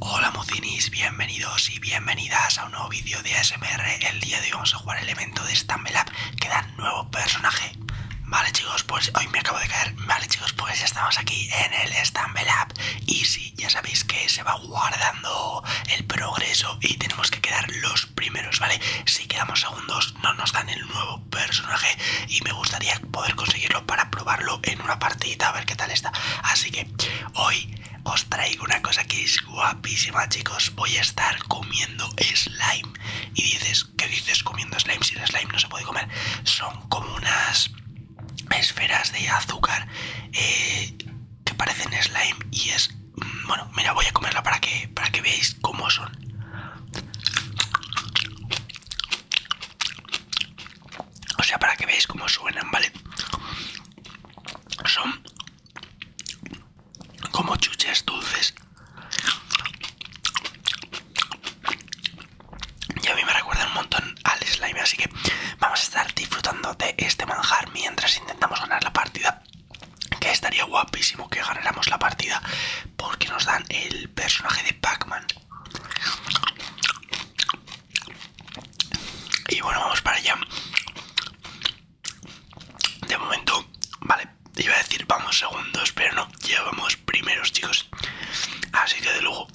Hola mocinis, bienvenidos y bienvenidas a un nuevo vídeo de ASMR El día de hoy vamos a jugar el evento de Stumble Up que da nuevo personaje Vale chicos, pues hoy me acabo de caer Vale chicos, pues ya estamos aquí en el Stumble Up Y si, ya sabéis que se va guardando el progreso y tenemos que quedar los primeros, ¿vale? Si quedamos segundos no nos dan el nuevo personaje y me gustaría poder conseguirlo para probarlo en una partidita a ver qué tal está. Así que hoy os traigo una cosa que es guapísima, chicos. Voy a estar comiendo slime. Y dices, ¿qué dices comiendo slime? Si el slime no se puede comer, son como unas esferas de azúcar eh, que parecen slime y es mm, bueno mira voy a comerla para que para que veáis cómo son o sea, para que veáis cómo suenan, ¿vale? Son como chuches dulces. Y a mí me recuerdan un montón al slime, así que vamos a estar disfrutando de este manjar mientras intentamos ganar la partida. Que estaría guapísimo que ganáramos la partida porque nos dan el personaje de Pac-Man. Y bueno, vamos para allá. De momento, vale, iba a decir vamos segundos, pero no, llevamos primeros, chicos. Así que de lujo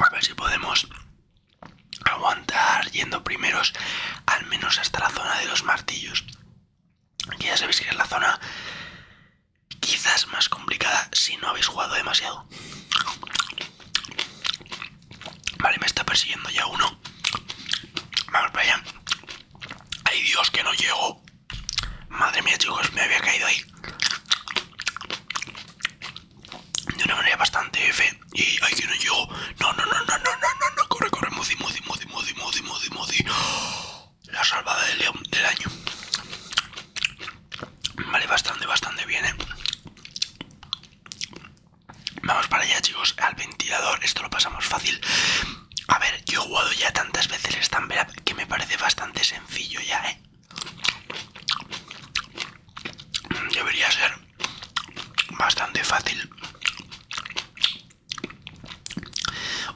a ver si podemos aguantar yendo primeros, al menos hasta la zona de los martillos. Que ya sabéis que es la zona quizás más complicada si no habéis jugado demasiado. Vale, me está persiguiendo ya uno. Vamos para allá. Ay Dios, que no llego. Madre mía, chicos, me había caído ahí. De una manera bastante fe Y ay, que no llego. No, no, no, no, no, no, no, Corre, corre, Moody, Moody, Moody, Moody, Moody, Moody, Moody la salvada león del año. Vale, bastante, bastante bien, ¿eh? Vamos para allá, chicos, al ventilador. Esto lo pasamos fácil. A ver, yo he jugado ya tantas veces el que me parece bastante sencillo ya, ¿eh? Debería ser bastante fácil.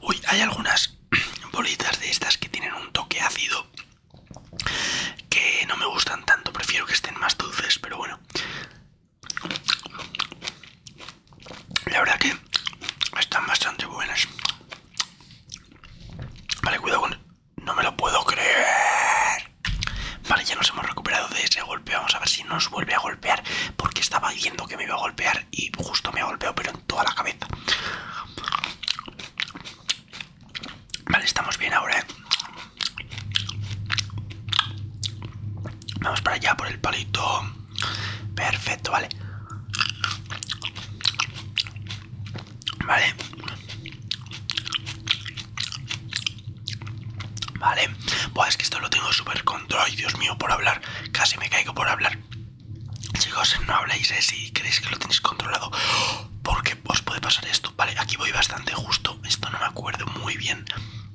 Uy, hay algunas bolitas de estas que tienen un toque ácido que no me gustan tanto, prefiero que estén más dulces, pero bueno. La verdad que están bastante buenas. Vale, cuidado con... No me lo puedo creer. Vale, ya nos hemos recuperado de ese golpe. Vamos a ver si nos vuelve a golpear. Porque estaba diciendo que me iba a golpear y justo me ha golpeado, pero toda la cabeza. Vale, estamos bien ahora, ¿eh? Vamos para allá por el palito. Perfecto, vale. Vale. Vale. pues es que esto lo tengo súper Ay, Dios mío, por hablar. Casi me caigo por hablar. Chicos, no habléis si creéis que lo tenéis controlado. Porque os puede pasar esto. Vale, aquí voy bastante justo. Esto no me acuerdo muy bien.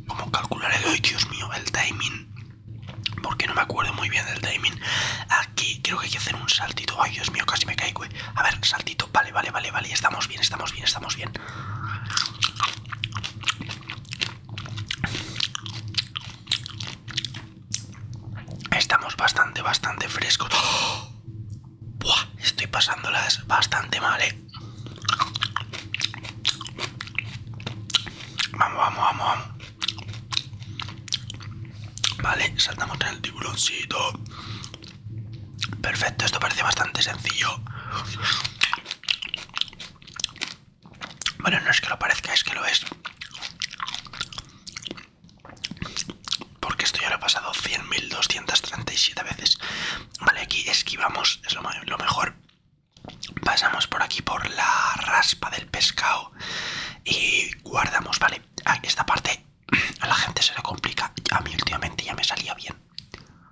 ¿Cómo calcular el Dios mío, el timing. Porque no me acuerdo muy bien del timing. Aquí creo que hay que hacer un saltito. Ay, Dios mío, casi me caigo. Eh. A ver, saltito. Vale, vale, vale, vale. Estamos bien, estamos bien, estamos bien. Estamos bastante, bastante frescos. ¡Oh! estoy pasándolas bastante mal, eh. Vamos, vamos, vamos, vamos. Vale, saltamos en el tiburóncito. Perfecto, esto parece bastante sencillo. Bueno, no es que lo parezca, es que lo es. Porque esto ya lo he pasado 100.237 veces. Vale, aquí esquivamos, es lo, lo mejor. Pasamos por aquí por la raspa del pescado y guardamos, vale. Ah, esta parte a la gente se le complica. A mí últimamente ya me salía bien.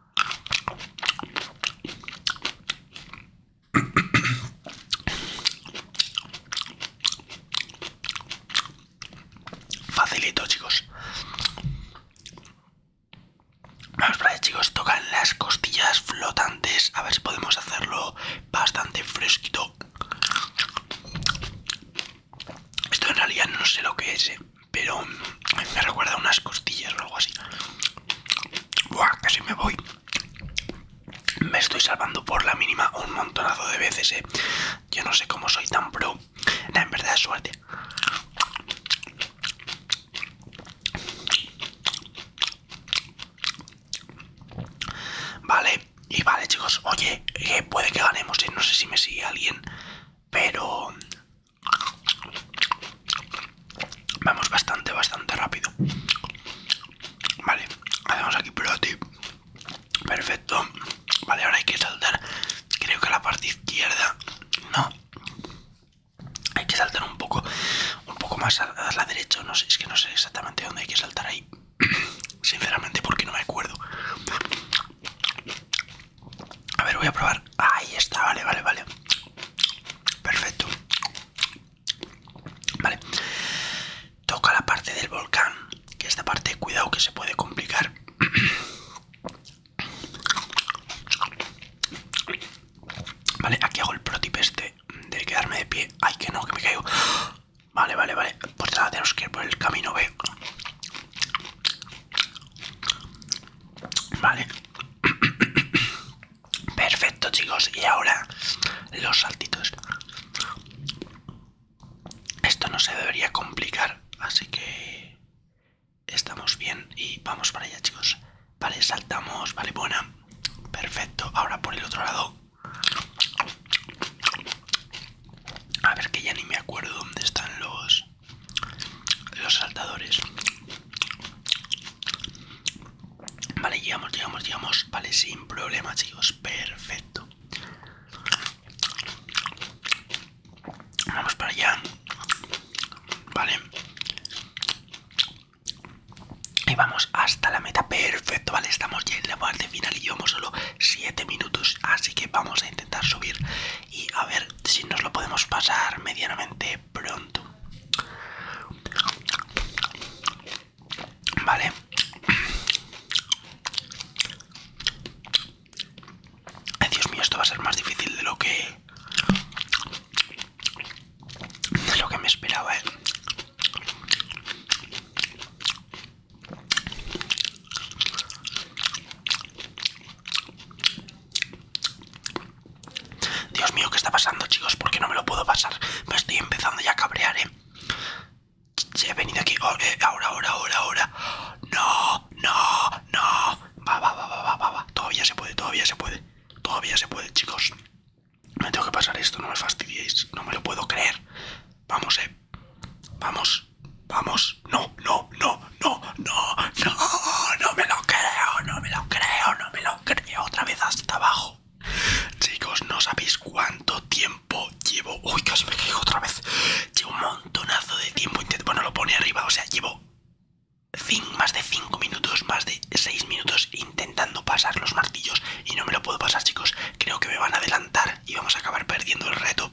Facilito, chicos. Vamos para allá, chicos. Tocan las costillas flotantes. A ver si podemos hacerlo bastante fresquito. Esto en realidad no sé lo que es. Eh pero me recuerda unas costillas o algo así. Buah, casi me voy. Me estoy salvando por la mínima un montonazo de veces, eh. Yo no sé cómo soy tan pro. en verdad es suerte. Vale, y vale chicos, oye, puede que ganemos, eh. no sé si me sigue alguien, pero Vamos bastante, bastante rápido. Vale, hacemos aquí protip. Perfecto. Vale, ahora hay que saltar. Creo que a la parte izquierda. No. Hay que saltar un poco. Un poco más a, a la derecha. No sé, es que no sé exactamente dónde hay que saltar ahí. Sinceramente, porque no me acuerdo. A ver, voy a probar. Ahí está, vale, vale, vale. Perfecto. Vale. Toca la parte del volcán. Que esta parte, cuidado que se puede complicar. Vale, aquí hago el protip este de quedarme de pie. Ay, que no, que me caigo. Vale, vale, vale. Pues nada, tenemos que ir por el camino B. Vale. Perfecto, chicos. Y ahora los saltitos. Esto no se debería complicar, así que estamos bien y vamos para allá, chicos. Vale, saltamos. Vale, buena. Perfecto. Ahora por el otro lado. A ver que ya ni me acuerdo dónde están los los saltadores. Vale, llegamos, llegamos, llegamos. Vale, sin problema, chicos. Perfecto. Vamos para allá. Vale. Y vamos hasta la meta. Perfecto, vale. Estamos ya en la parte final y llevamos solo 7 minutos. Así que vamos a intentar subir y a ver si nos lo podemos pasar medianamente pronto. Vale. Dios mío, esto va a ser más difícil de lo que... De lo que me esperaba, eh. Dios mío, ¿qué está pasando, chicos? Porque no me lo puedo pasar. Me estoy empezando ya a cabrear, eh. Se he venido aquí. Oh, eh, ahora, ahora, ahora, ahora. No, no, no. Va, va, va, va, va, va, va. Todavía se puede, todavía se puede. Todavía se puede, chicos. Me tengo que pasar esto, no me fastidiéis. No me lo puedo creer. Vamos, eh. Vamos, vamos. No, no, no, no, no, no, no me lo creo, no me lo creo, no me lo creo. Otra vez hasta abajo. Chicos, no sabéis cuánto tiempo llevo. Uy, casi me caigo otra vez. Llevo un montonazo de tiempo. Bueno, lo pone arriba, o sea, llevo más de 5 minutos, más de 6 minutos intentando pasar los martillos y no me lo puedo pasar, chicos. Creo que me van a adelantar y vamos a acabar perdiendo el reto.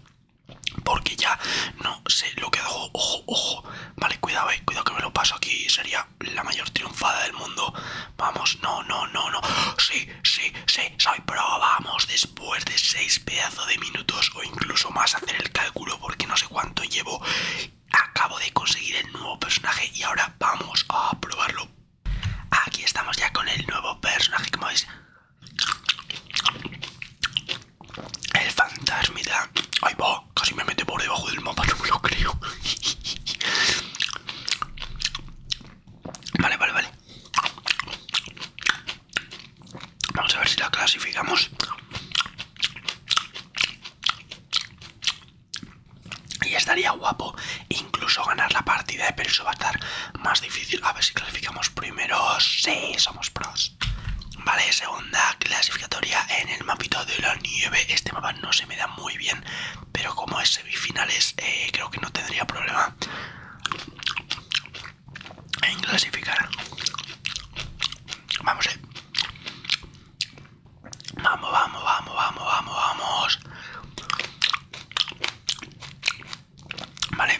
Porque ya no sé lo que hago. Ojo, ojo. Vale, cuidado, eh. Cuidado que me lo paso aquí. Sería la mayor triunfada del mundo. Vamos, no, no, no, no. Sí, sí, sí. Soy pro. Vamos, después de seis pedazos de minutos o incluso más hacer el cálculo porque no sé cuánto llevo. Acabo de conseguir el nuevo personaje y ahora vamos a probarlo Aquí estamos ya con el nuevo personaje como veis el fantasmita. Ay, va, casi me mete por debajo del mapa, no me lo creo. Vale, vale, vale. Vamos a ver si la clasificamos. Y estaría guapo incluso ganar la partida, de eh, eso va a estar más difícil. A ver si clasificamos primero. Sí, somos pros. Vale, segunda clasificatoria en el mapito de la nieve. Este mapa no se me da muy bien, pero como es semifinales, eh, creo que no tendría problema en clasificar. Vamos, eh. Vamos, vamos, vamos, vamos, vamos, vamos. Vale.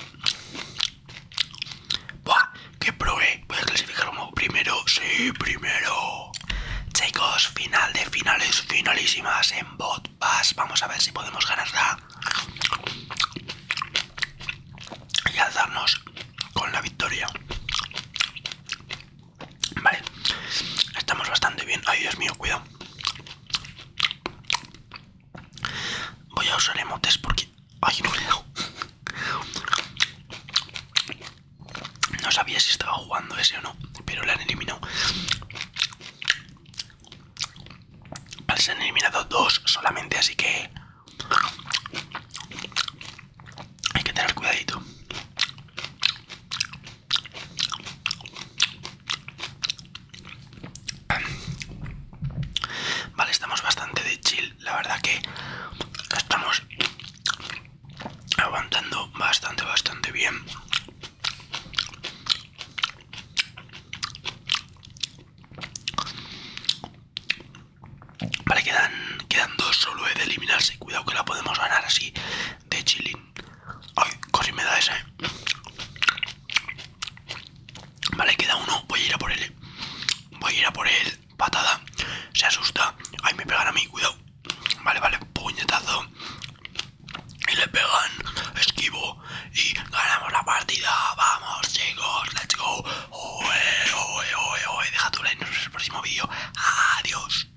Buah, que probé. Voy a clasificar como primero. Sí, primero. Chicos, final de finales, finalísimas en bot pass. Vamos a ver si podemos ganarla. Y alzarnos con la victoria. Vale. Estamos bastante bien. Ay, Dios mío, cuidado. Voy a usar emotes porque... Ay, no No sabía si estaba jugando ese o no, pero le han eliminado. Se han eliminado dos solamente, así que... Hay que tener cuidadito. Vale, estamos bastante de chill. La verdad que estamos aguantando bastante, bastante bien. Vale, quedan, dos solo he de eliminarse. Cuidado que la podemos ganar así de chilín. Ay, cosí me da esa, eh. Vale, queda uno. Voy a ir a por él. Eh. Voy a ir a por él. Patada. Se asusta. Ay, me pegan a mí. Cuidado. Vale, vale. Puñetazo. Y le pegan. Esquivo. Y ganamos la partida. Vamos, chicos. Let's go. Deja tu like. en el próximo vídeo. Adiós.